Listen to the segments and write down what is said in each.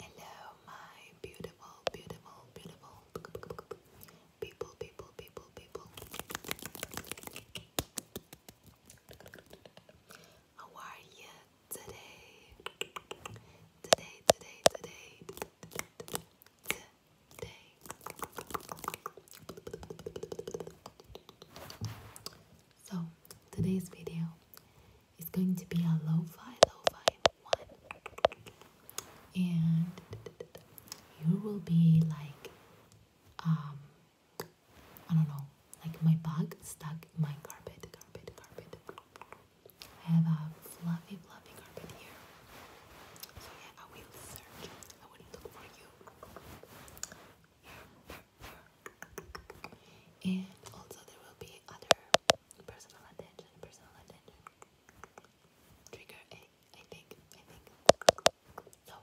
Hello, my beautiful, beautiful, beautiful people, people, people, people. How are you today? Today, today, today today. So today's video is going to be a lo-fi, lo-fi one, and you will be like, um, I don't know, like my bug stuck in my carpet, carpet, carpet, I have a fluffy, fluffy carpet here. So yeah, I will search. I will look for you. And also there will be other personal attention, personal attention. Trigger A, I think, I think. So,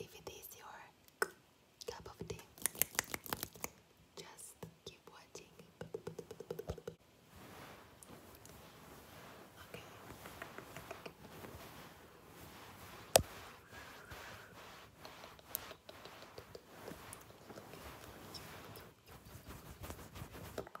if it is your cup of tea, just keep watching. Okay. I'm gonna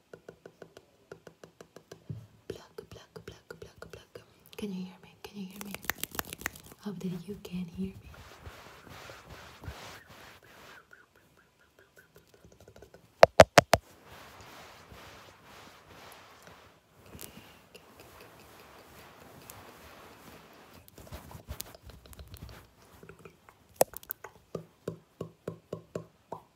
Pluck, pluck, pluck, pluck, pluck. Can you hear me? Can you hear me? Hope that you can hear me.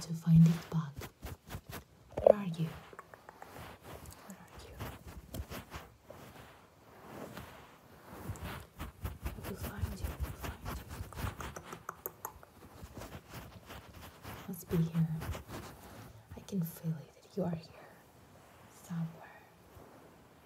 to find it back. Where are you? Where are you? I will find you. I you. Must be here. I can feel it. You are here somewhere.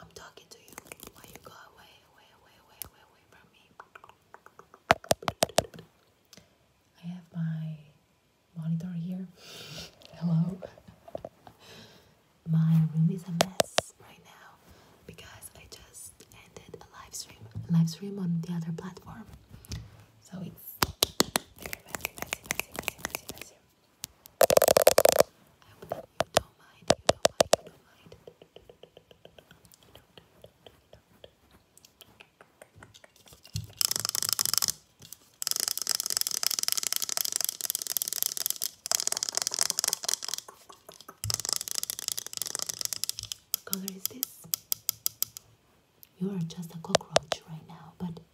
I'm talking to you while you go away, away, away, away, away, from me. I have my monitor here. Hello. my room is a mess right now because I just ended a live stream, live stream on the other platform. So it's hope you don't mind, you don't mind, you don't mind. What color is this? You are just a cockroach right now, but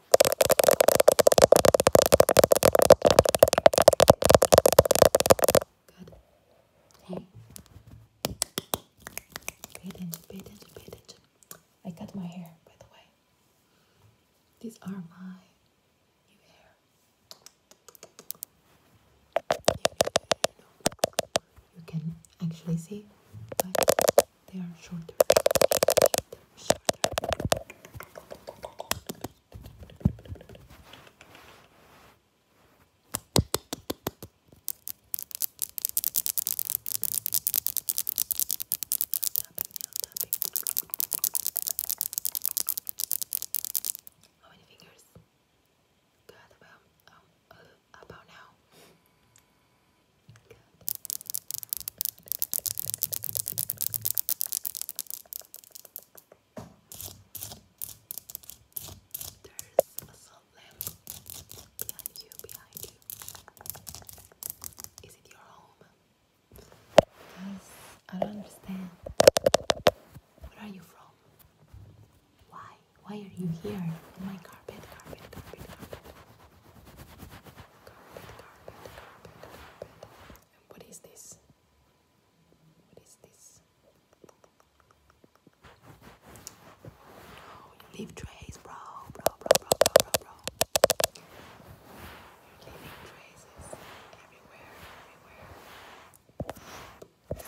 Good. Hey. Pay attention, pay attention, pay attention. I cut my hair, by the way. These are my new hair. You, can actually see, they are shorter. How many fingers? Good about um, about now. There's a salt behind you, behind you. Is it your home? Yes, I don't understand. Where are you from? Why? Why are you here? On my carpet, carpet, carpet, carpet what is this? What is this? Oh, you leave trays, bro, bro, bro, bro, bro, bro, bro. are leaving traces everywhere, everywhere.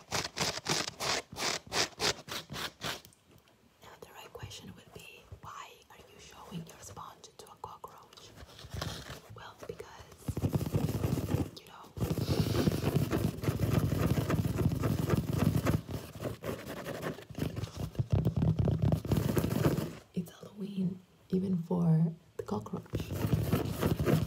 Now the right question would be, why are you showing your sponge to a cockroach? Well, because, you know, it's Halloween even for the cockroach.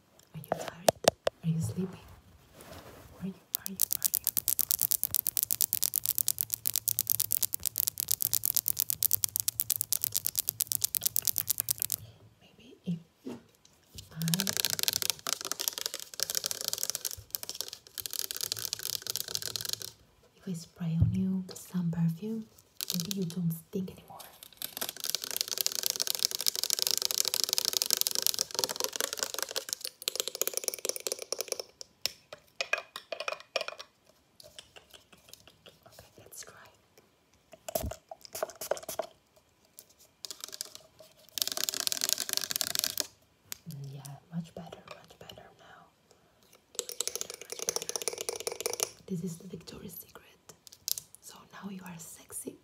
Are you tired? Are you sleepy? Are you, are you, are you? Maybe if I if I spray on you some perfume, maybe you don't stink anymore let's try. Yeah, much better, much better now. This is the Victoria's Secret. So now you are sexy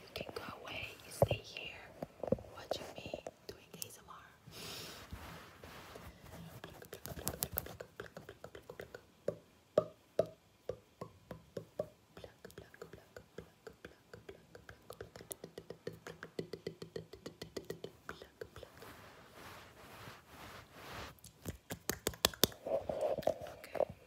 You can go away. You stay here. Watching me doing ASMR. Okay.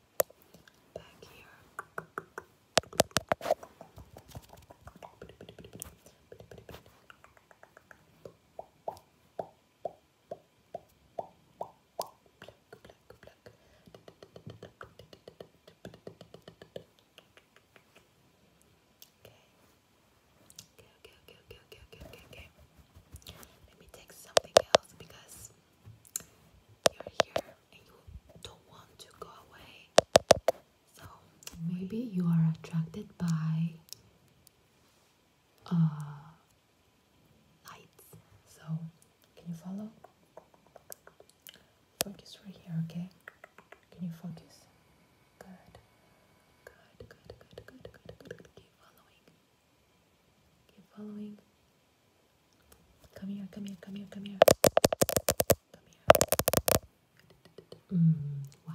back here. Okay, okay, okay, okay, okay, okay, okay, Let me take something else because you're here you don't want to go away. So maybe you are attracted by uh, lights. So can you follow? Focus right here, okay? Can you focus? Good, good, good, good, good, good, good. Keep following. Keep following. Come here, come here, come here, come here. Come here. why?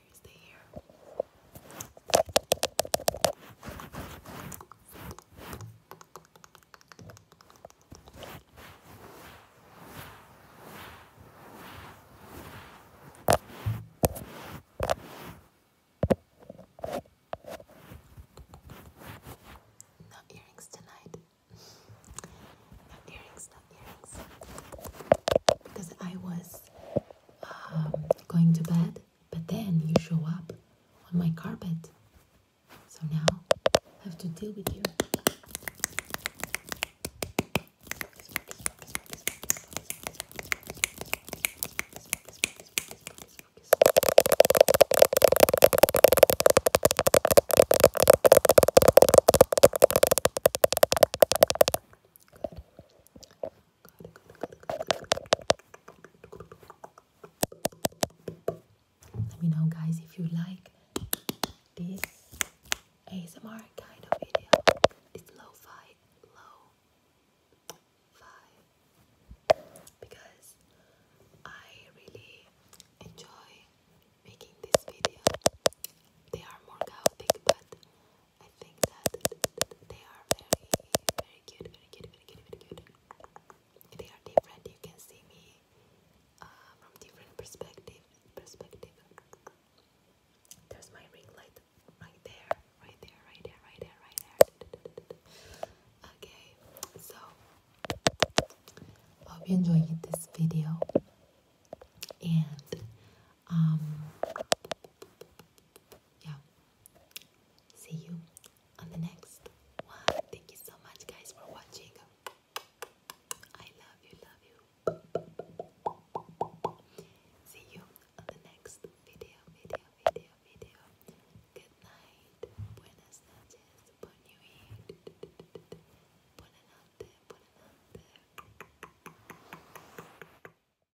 No earrings tonight. No earrings, no earrings. Because I was um, going to bed but then you show up on my carpet. So now I have to deal with you. Let me know, guys, if you like this ASMR kind of video. It's low fi, low fi, because I really enjoy making this video. They are more chaotic, but I think that they are very, very cute, very cute, very cute, very cute. They are different. You can see me uh, from different perspective. Perspective. There's my ring light right there, right there, right there, right there, right there. Okay, so hope you enjoyed this video and um yeah see you on the next one. Thank you so much, guys, for watching. I love you, love you. See you on the next video, video, video, video. Good night. Buenas noches. Bon nuit. Buena notte.